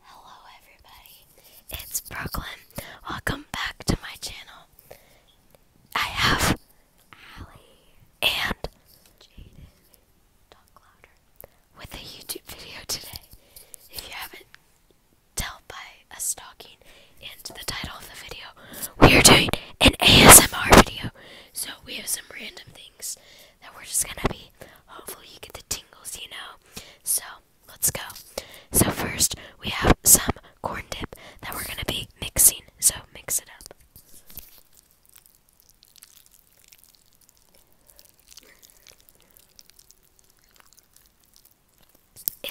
Hello, everybody. It's Brooklyn. Welcome back to my channel. I have Allie and Jaden talk louder with a YouTube video today. If you haven't tell by us talking and the title of the video, we are doing an ASMR video. So we have some random things that we're just gonna be. Hopefully, you get the tingles, you know. So, let's go. So, first, we have some corn dip that we're gonna be mixing. So, mix it up.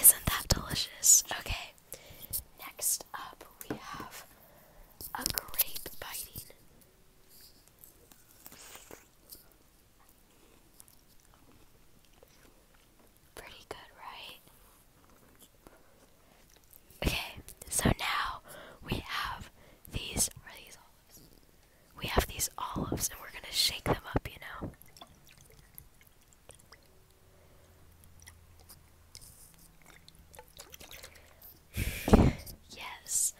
Isn't that delicious? Okay, next up we have a grape biting. Pretty good, right? Okay, so now we have these We have these olives and we're gonna shake them up, you know. yes.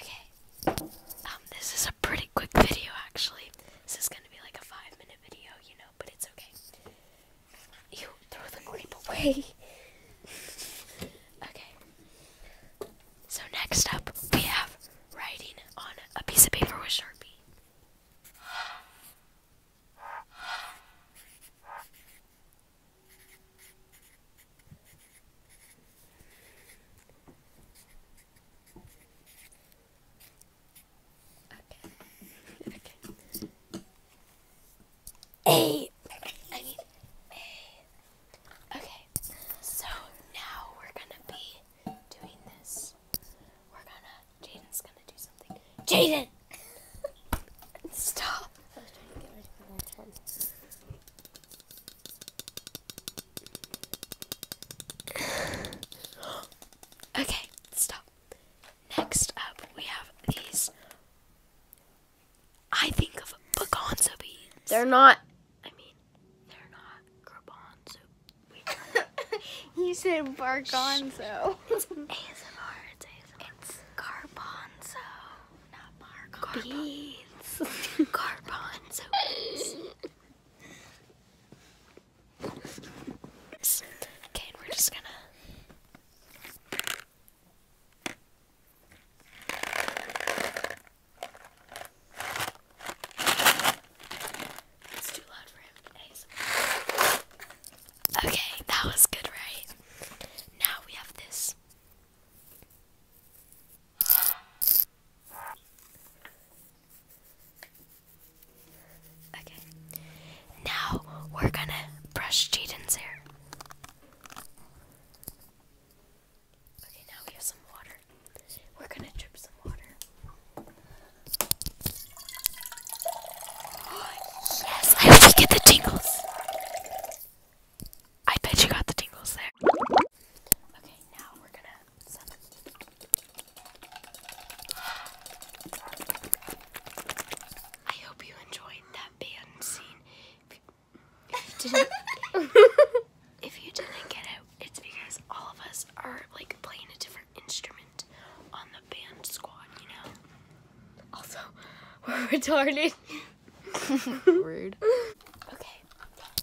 Okay. Um, this is a pretty quick video actually. This is gonna be like a five minute video, you know, but it's okay. You throw the grape away. okay. So next up we have writing on a piece of paper with Sharpie. Okay. okay. So now we're gonna be doing this. We're gonna. Jaden's gonna do something. Jaden. Stop. I okay, stop. Next up, we have these. I think of bagonza beans. They're not. I mean, they're not garbanzo. you said bargonzo. It's ASMR. It's ASMR not bar beads. Garbanzos. okay, we're just gonna. It's too loud for him. Okay, that was good, right? Now we have this. Okay. Now we're gonna brush Jaden's hair. Okay, now we have some water. We're gonna drip some water. Oh, yes, I hope we get the tingles. I bet you got the tingles there. Okay, now we're gonna I hope you enjoyed that band scene. if you didn't, if you didn't get it, it's because all of us are like playing a different instrument on the band squad, you know. Also, we're retarded. Okay.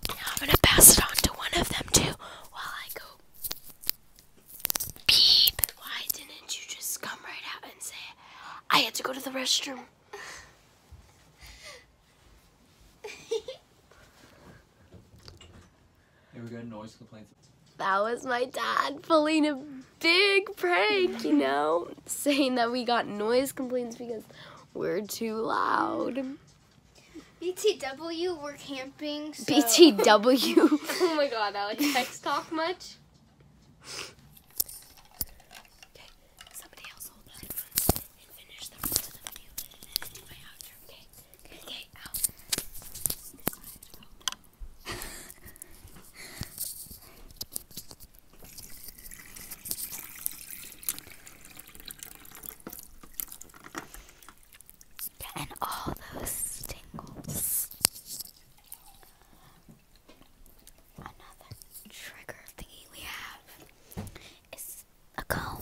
Now I'm gonna pass it on to one of them too while I go. Beep. Why didn't you just come right out and say I had to go to the restroom? Hey, we got noise complaints. That was my dad pulling big prank, you know, saying that we got noise complaints because we're too loud. BTW, we're camping. BTW. oh my god, Alex, text talk much? And all those tingles. Another trigger thingy we have is a comb.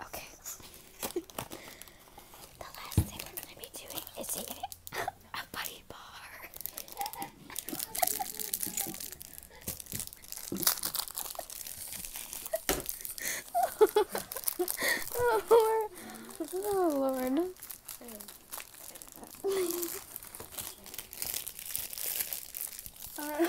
Okay. the last thing we're going to be doing is eating a buddy bar. oh, Lord. Oh, Lord. I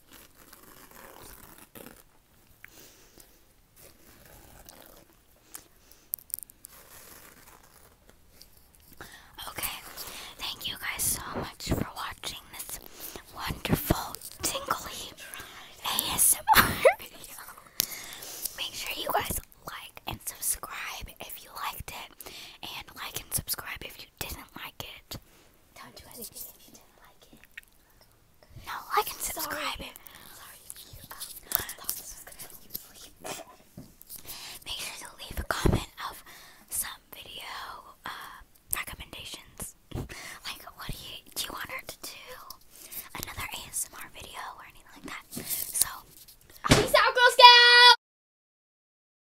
Okay, thank you guys so much for watching this wonderful tingly ASMR Make sure you guys like and subscribe if you liked it, and like and subscribe if you didn't like it. No, like and subscribe. Um, Make sure to leave a comment of some video uh, recommendations. like, what do you do? You want her to do another ASMR video or anything like that? So, peace out, Girl Scout.